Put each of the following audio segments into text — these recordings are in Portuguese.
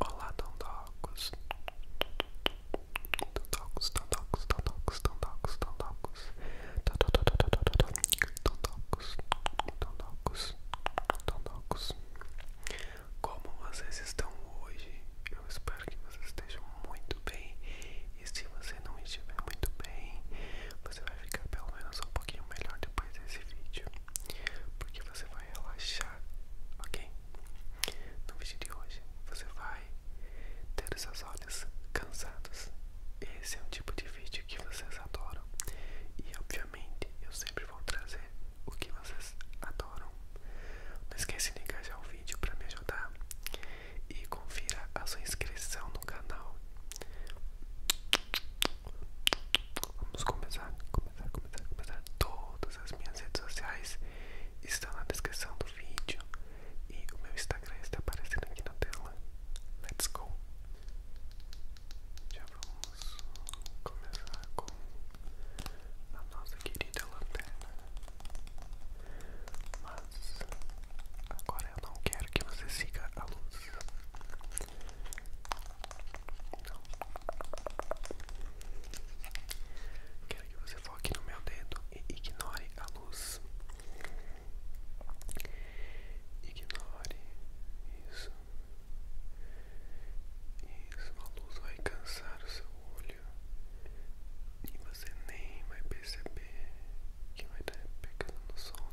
Olá, Dondocos. Dondocos, Dondocos, Dondocos, Dondocos, Dondocos. Dondocos, Dondocos, Dondocos. Como vocês estão hoje? Eu espero que vocês estejam muito bem. E se você não estiver muito bem, você vai ficar pelo menos um pouquinho melhor depois desse vídeo. Porque você vai relaxar, ok? No vídeo de hoje você vai ter os seus olhos cansados. Esse é um tipo de vídeo que vocês adoram e, obviamente, eu sempre vou trazer o que vocês adoram. Não esquece de engajar o vídeo para me ajudar e confira a sua inscrição no canal. Vamos começar, começar, começar, começar. Todas as minhas redes sociais estão na descrição do vídeo e o meu Instagram está aparecendo aqui na tela. Let's go! Já vamos começar com a nossa querida lanterna. Mas agora eu não quero que você siga a luz. Quero que você foque no meu dedo e ignore a luz. Ignore isso. a luz vai cansar o seu olho e você nem vai perceber que vai estar pegando no sono.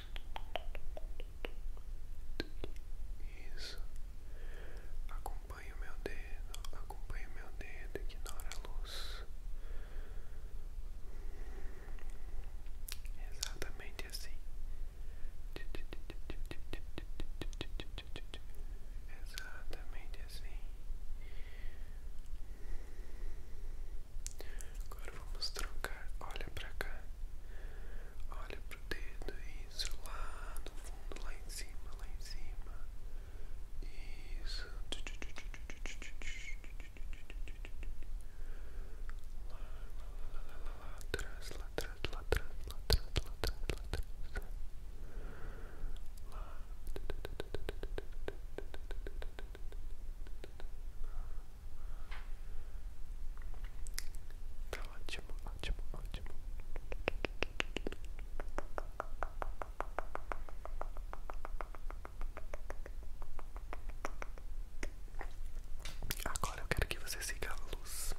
Isso. Acompanha o meu dedo, acompanha o meu dedo, ignora a luz. Exatamente assim. Exatamente assim. Agora vamos trocar. Olha pra cá. Olha pro dedo. Isso. Lá no fundo, lá em cima, lá em cima. Isso. Lá, lá, lá, lá, lá, lá atrás, lá atrás, lá atrás, lá atrás, lá atrás, lá atrás. Lá. Tá ótimo, ótimo, ótimo. Agora eu quero que você siga a luz.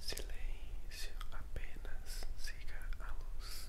Silêncio, apenas siga a luz.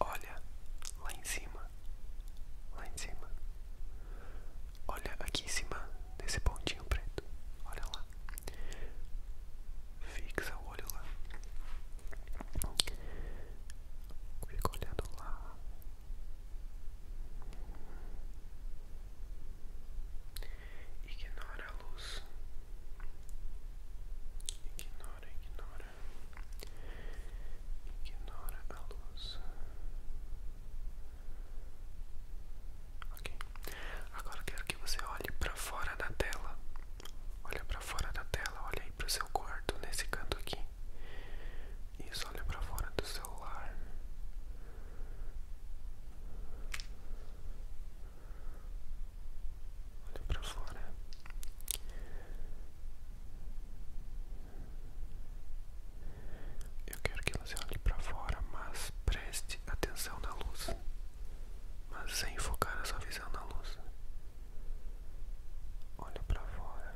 Olha lá em cima, lá em cima. Olha aqui em cima desse pontinho preto. Olha lá. Fixa o olho lá. ficou olhando lá. Ignora a luz. Ignora, ignora. Ignora a luz. Ok. Agora quero que você olhe para fora da tela. Olha para fora da tela, olha aí pro seu quarto nesse canto aqui. Isso, olha para fora do celular. Olha para fora. Eu quero que você olhe para fora, mas preste atenção na luz, mas sem focar a sua visão na luz. Olha para fora.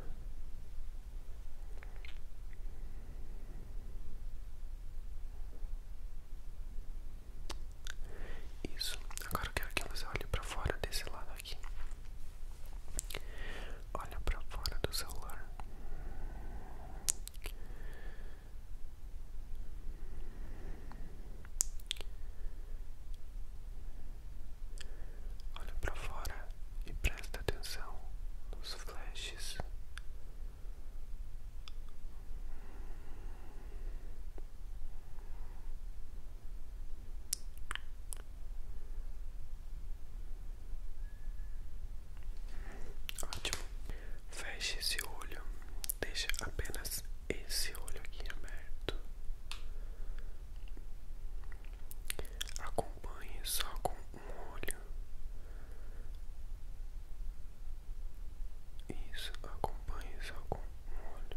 Isso. Agora quero que você olhe para fora desse lado aqui. Olha para fora do celular. Olha para fora e presta atenção nos flashes. Ótimo. Feche esse olho. Deixa apenas esse olho aqui é aberto. Acompanhe só com um olho. Isso, acompanhe só com um olho.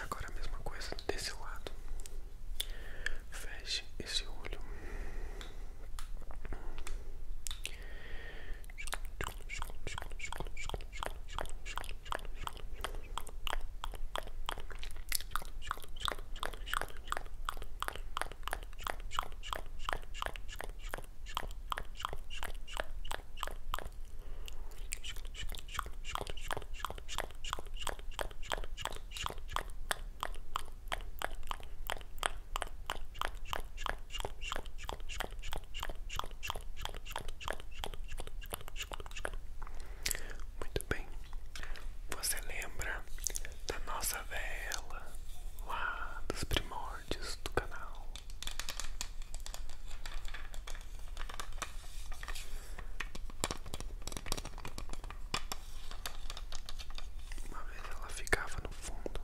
Agora a mesma coisa desse lado. Feche esse olho. Muito bem. Você lembra da nossa vela lá dos primórdios do canal? Uma vez ela ficava no fundo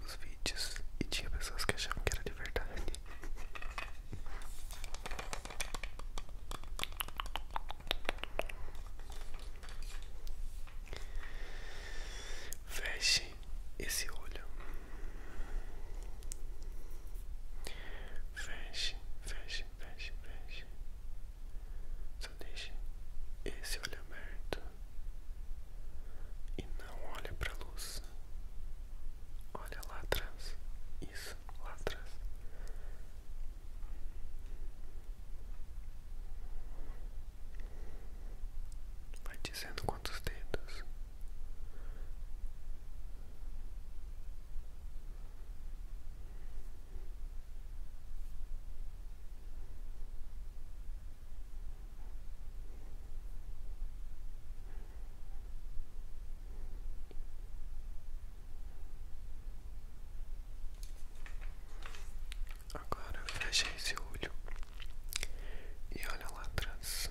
dos vídeos e tinha pessoas que achavam que era de verdade. Feche esse olho. Feche, feche, feche, feche. Só deixe esse olho aberto e não olhe para a luz. Olha lá atrás. Isso, lá atrás. Vai dizendo quantos dedos. Agora fecha esse olho e olha lá atrás.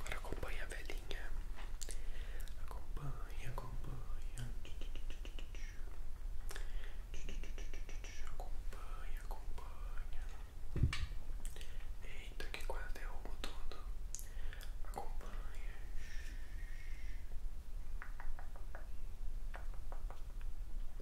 Agora acompanha a velhinha. Acompanha, acompanha. Acompanha, acompanha. Eita, que quase derrubo é tudo. Acompanha. Acompanha,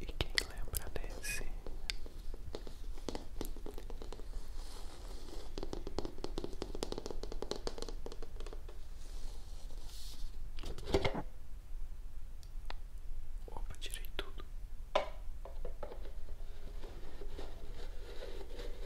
E quem lembra desse? Opa, tirei tudo.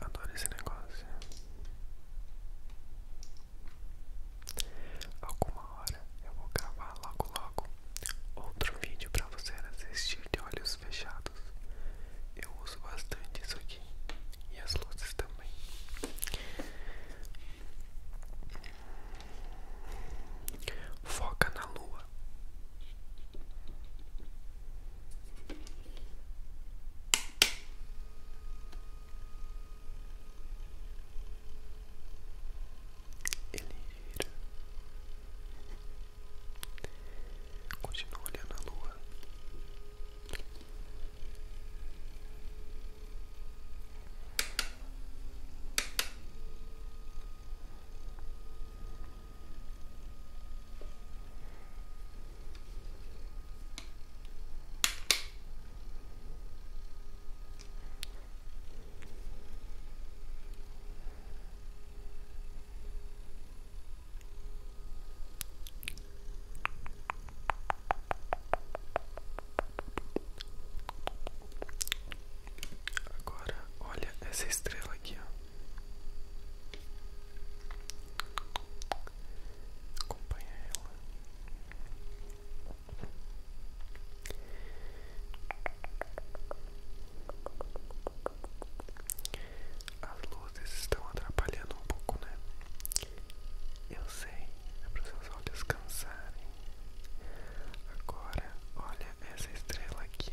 Adoro esse negócio. Alguma hora eu vou gravar logo logo outro vídeo para você assistir de olhos fechados. Eu uso bastante isso aqui e as luzes também. Foca na lua. Ele gira. Continua olhando a lua. Agora, olha essa estrela aqui, ó. Acompanha ela. As luzes estão atrapalhando um pouco, né? Eu sei, é para seus olhos cansarem. Agora, olha essa estrela aqui,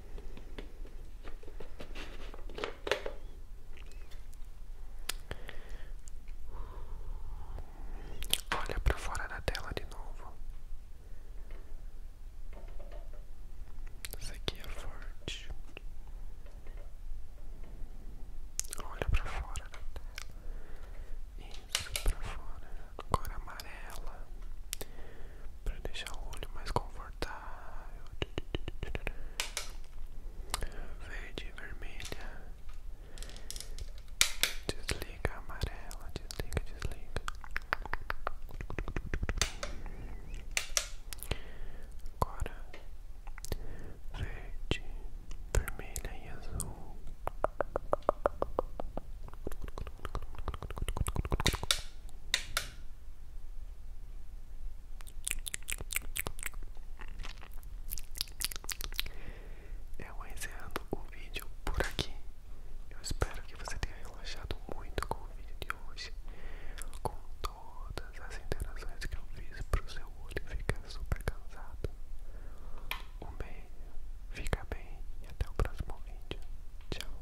Olha para fora da tela de novo. Isso aqui é forte. Olha para fora da tela. Isso para fora. Cor amarela para deixar o olho mais confortável. Verde e vermelha. Desliga amarela, desliga, desliga. Agora verde, vermelha e azul. Eu encerro o vídeo por aqui. Eu espero que você tenha relaxado muito com o vídeo de hoje, com todas as interações que eu fiz para o seu olho ficar super cansado. Um beijo. Fica bem e até o próximo vídeo. Tchau.